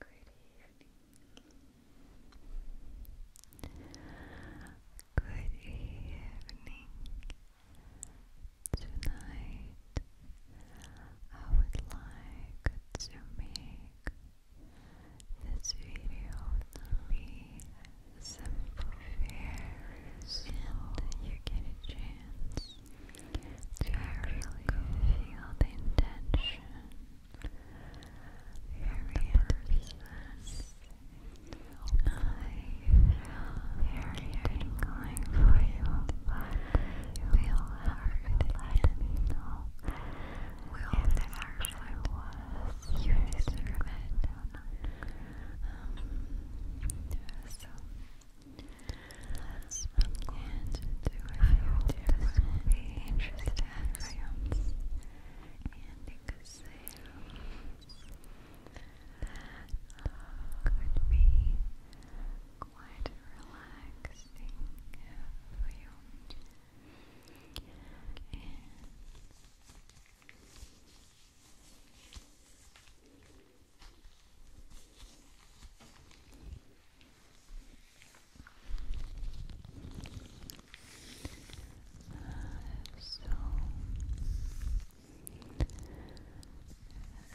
Good evening. Tonight I would like to make this video be simple, very slow, and you get a chance to actually feel the intention very purpose. I feel very tingling for you. Feel hard let me if it actually was. You deserve it. so, that's and do a few this will interesting for you. And you could could be quite relaxing for you. Uh, so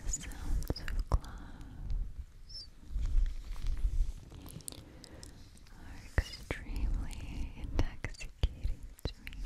sounds of clouds are extremely intoxicating to me.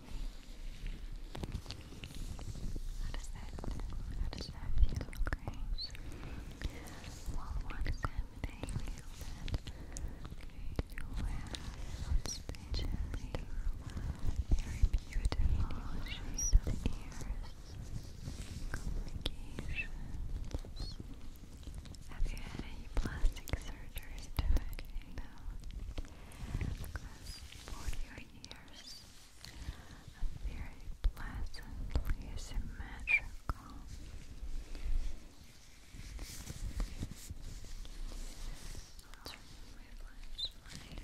How does that, how does that feel, okay? Well, what is happening is that you have especially very beautiful shaped ears, Have you had any plastic surgery to it? your ears, and very pleasantly symmetrical. I'll turn my flashlight.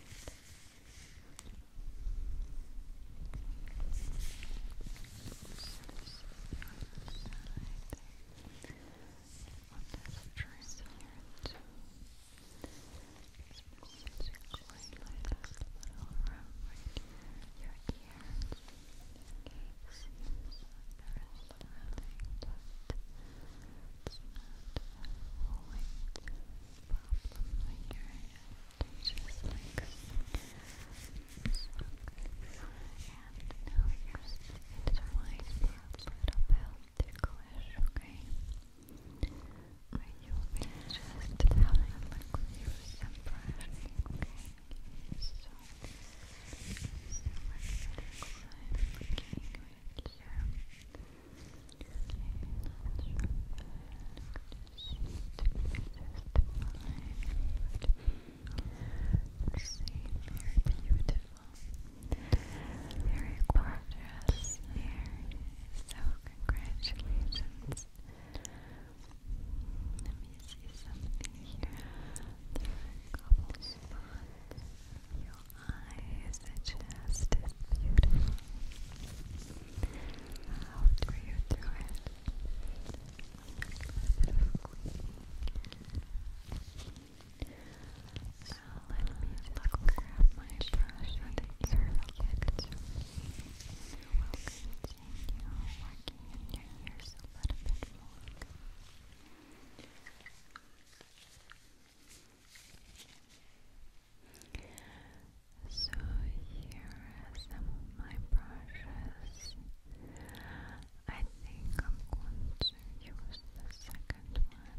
On this dress here too. This message is going like a little rumbling your ears. It seems that there is nothing but it's not a whole problem when you're in It's just like so and now here's the intertwined parts little bell ticklish, okay? But you'll be just having a look with So, I'm looking at you. Okay, you seem beautiful. Very gorgeous hair. So congratulations. Let me see something here. There are a couple spots. Your eyes are just as beautiful. How do you do it? A little bit of cleaning. Now let me look grab my brush and it's perfect. I will continue working in your ears a little bit more. So here are some of my brushes. I think I'm going to use the second one.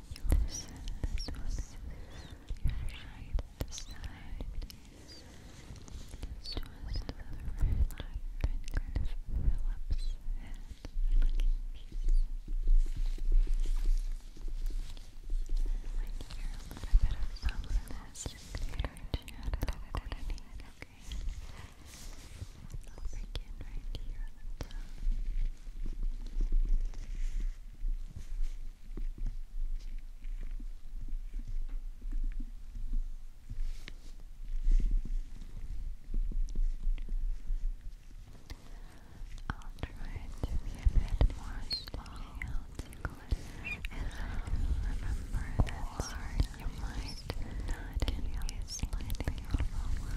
your side, your side. It's just the red light of Phillips head looking piece. Like here, a little bit of softness there, Okay. I'll begin right here I'll try to be a bit more slow and I'll remember that part you might not can slightly overwhelming.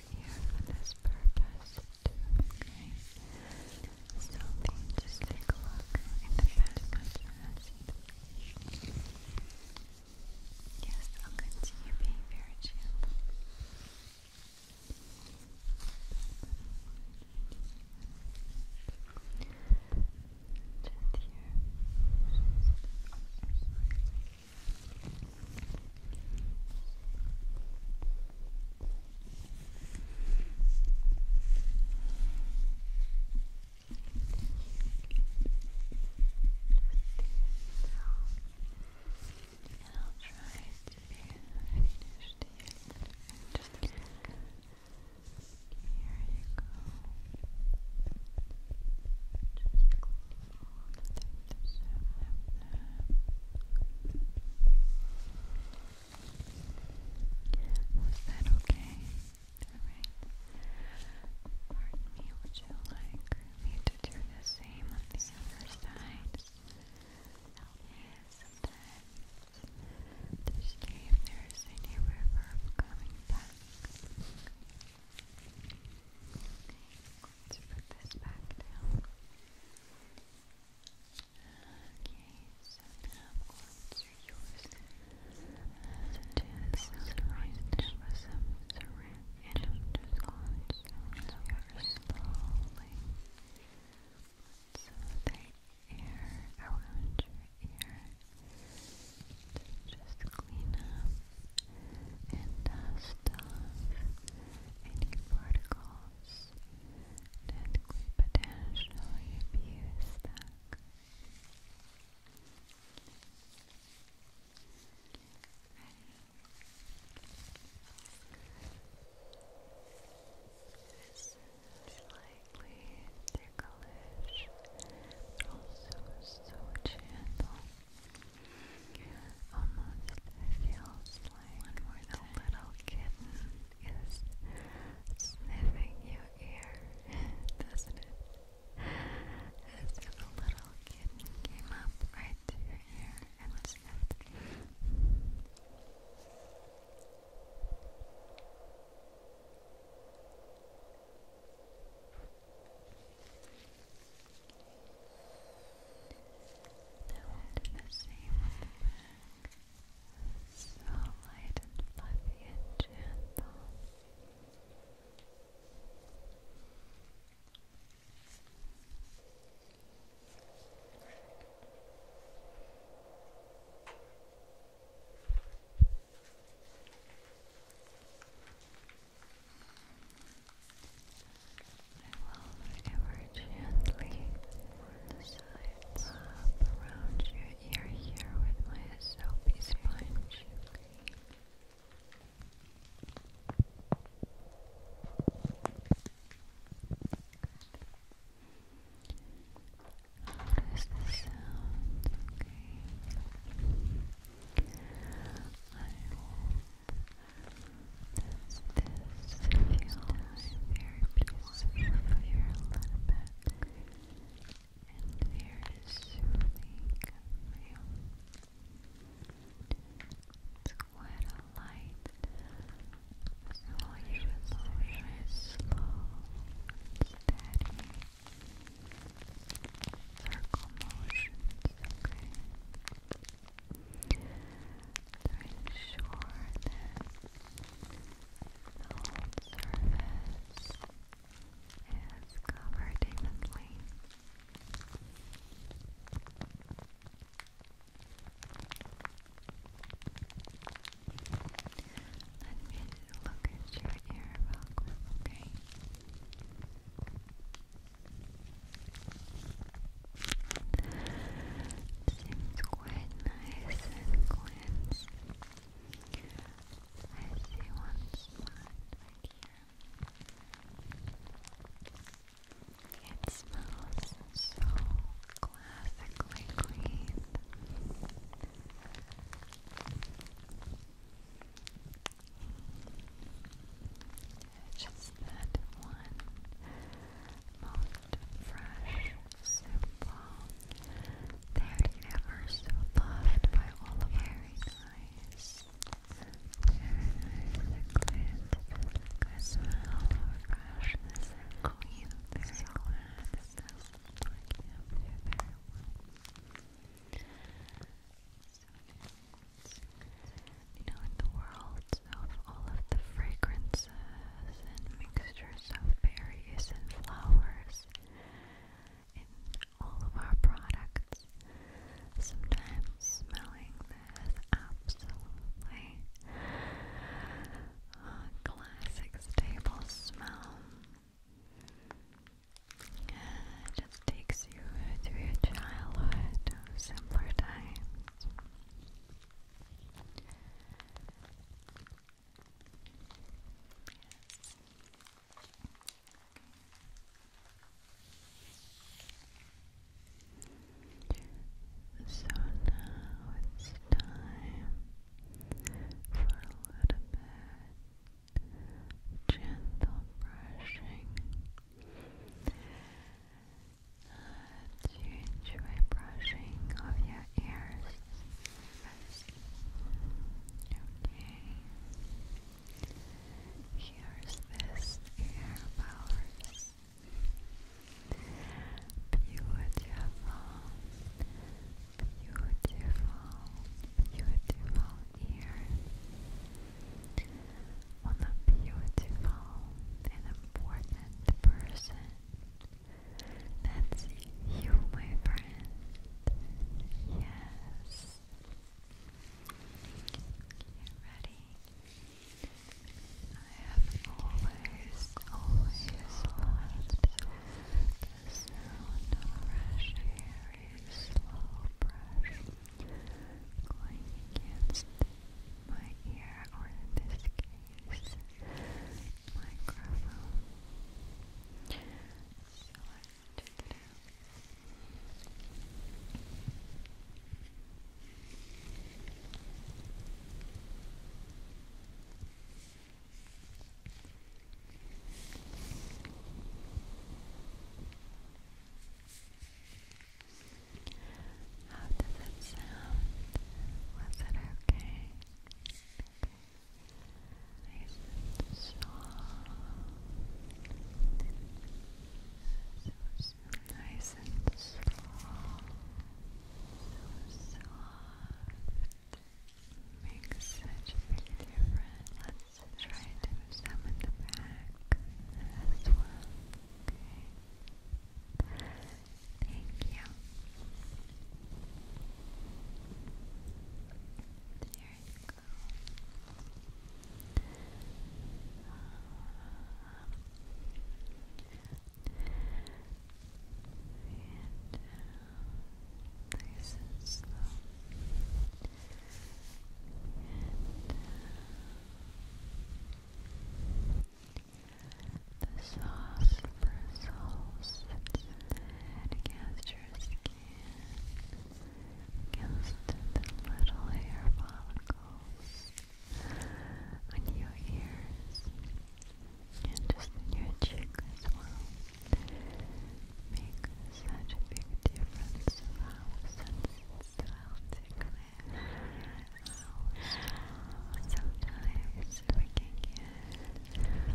here for this purpose okay? So just take a look in the past Yes, I'll continue being very gentle. Just here. And I'll try to be finished here. Here you go. Just close the was that okay? Alright. Pardon me, would you like me to do the same on the other side? Help me sometimes. see if there's any reverb coming back. Let's put this back down. Okay, so now I'm going to use with some syrup and just going to very slowly. So the ear around your ear to just clean up and dust any particles that could potentially be stuck. It's likely ticklish, also so gentle. That Almost feels like the little kitten is sniffing your ear, doesn't it? As little kitten came up right to your ear and sniffed. Good. Now we're do the same with So light and fluffy and gentle will cover gently the up around your ear here with my soapy sponge. Notice the sound, this feels very peaceful here a little bit and very soothing It's quite a light slow motion, slow steady circle motions, okay? to ensure that the whole surface is covered evenly. Let me look at your ear Okay. Seems quite nice and cleansed. I see one spot here. It smells so classically clean just that one most fresh, simple. They're never so loved by all of Very nice. Very nice. Liquid. Good smell of freshness and clean. Very so glad this doesn't work out very well you know, in the world of all of the fragrances and mixtures of berries and flowers in all of our products, sometimes smelling this absolutely classic stable smell takes you through your childhood, simpler times. So now it's time for a little bit gentle brushing do you enjoy brushing of your ears? Okay. Here's this ear Beautiful, beautiful, beautiful ear on a beautiful and important person. That's you, my friend. Yes. ready? I have always, always loved the sound of fresh slow brush going against my ear, or in this case, microphone. How does it sound? Was it okay? Nice and soft. So, so nice and soft. So soft. Makes such a difference try to move some in the back as well. Thank you. There you go. and uh, nice and slow the sauce bristles against your skin, against the little hair follicles on your ears and just in your cheek as well make such a big difference sometimes we can get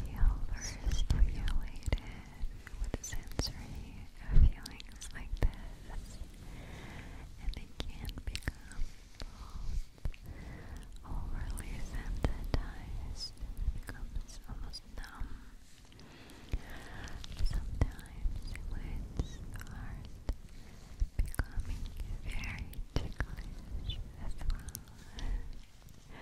feel overstimulated with sensory feelings like this and it can become overly sensitized, it becomes almost numb Sometimes words are becoming very ticklish as well,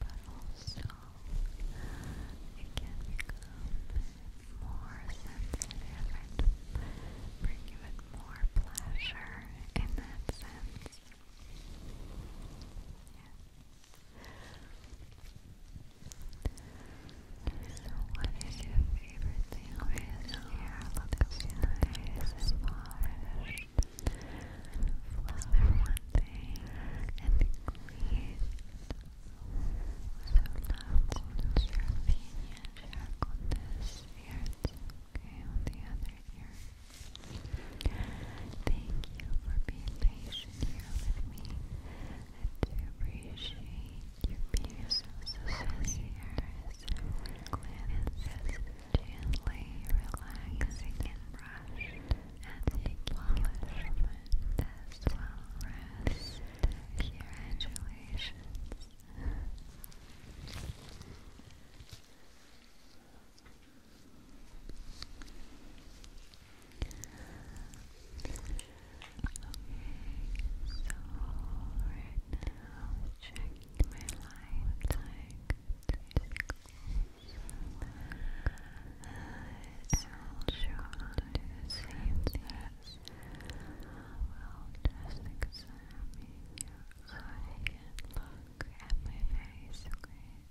but also it can become more sensitive bring you more pleasure in that sense. So what is your favorite thing over this year? Looks nice and polished. Was one thing and clean? So now what's your opinion? Check on this ear okay? On the other ear. Thank you for being patient here with me and to appreciate your peers so seniors and gently relaxing and brushed and taking nourishment as well rest. Congratulations now, check my life like it's not sure i do the same test. i just examine you so I look at my face, okay?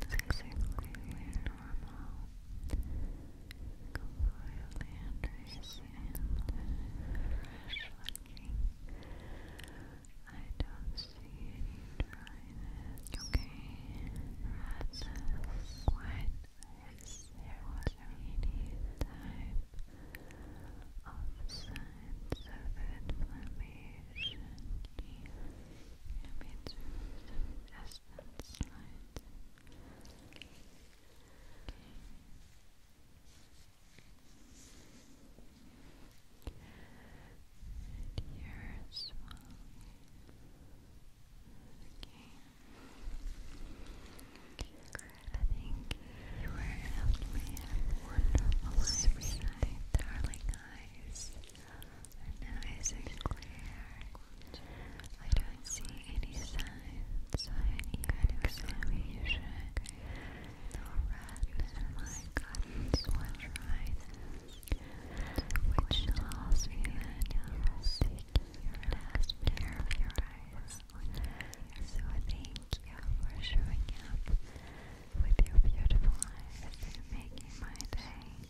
That's exactly normal. Completely understand. Fresh looking. I don't see any dryness. Okay. That's quite there was any signs of inflammation? Yeah, me too. And here as well. Okay. you were helped wonderful sweet, darling eyes. Our eyes are clear. I don't see any signs any kind of examination. No redness. My guns was right. Which tells me that you're your last pair of your eyes. So thank you for showing up with your beautiful eyes and making my day.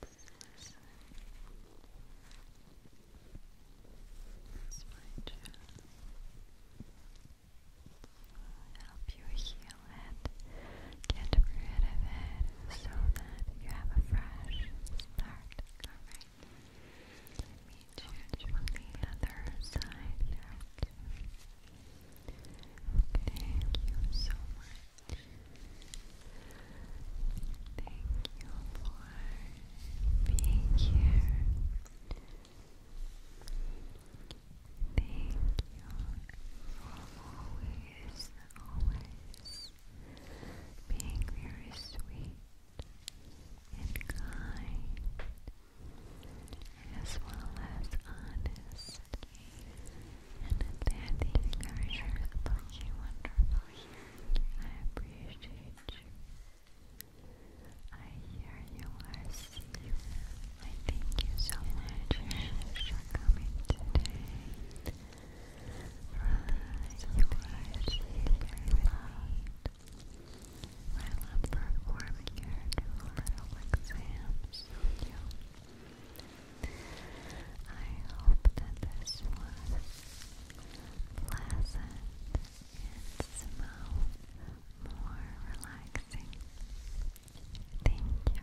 consistent. That's my job. Help you heal it, get rid of it, so that you have a fresh start. Alright. Let me change the other side Okay, thank you so much Thank you for being here. Thank you for always, always being very sweet and kind as well as honest and at that encourage her wonderful here. I appreciate you. I hear you, I see I thank you so much for coming today. Relax, you are sleeping loud. I'm performing your two little I hope that this was pleasant and somehow more relaxing. Thank you.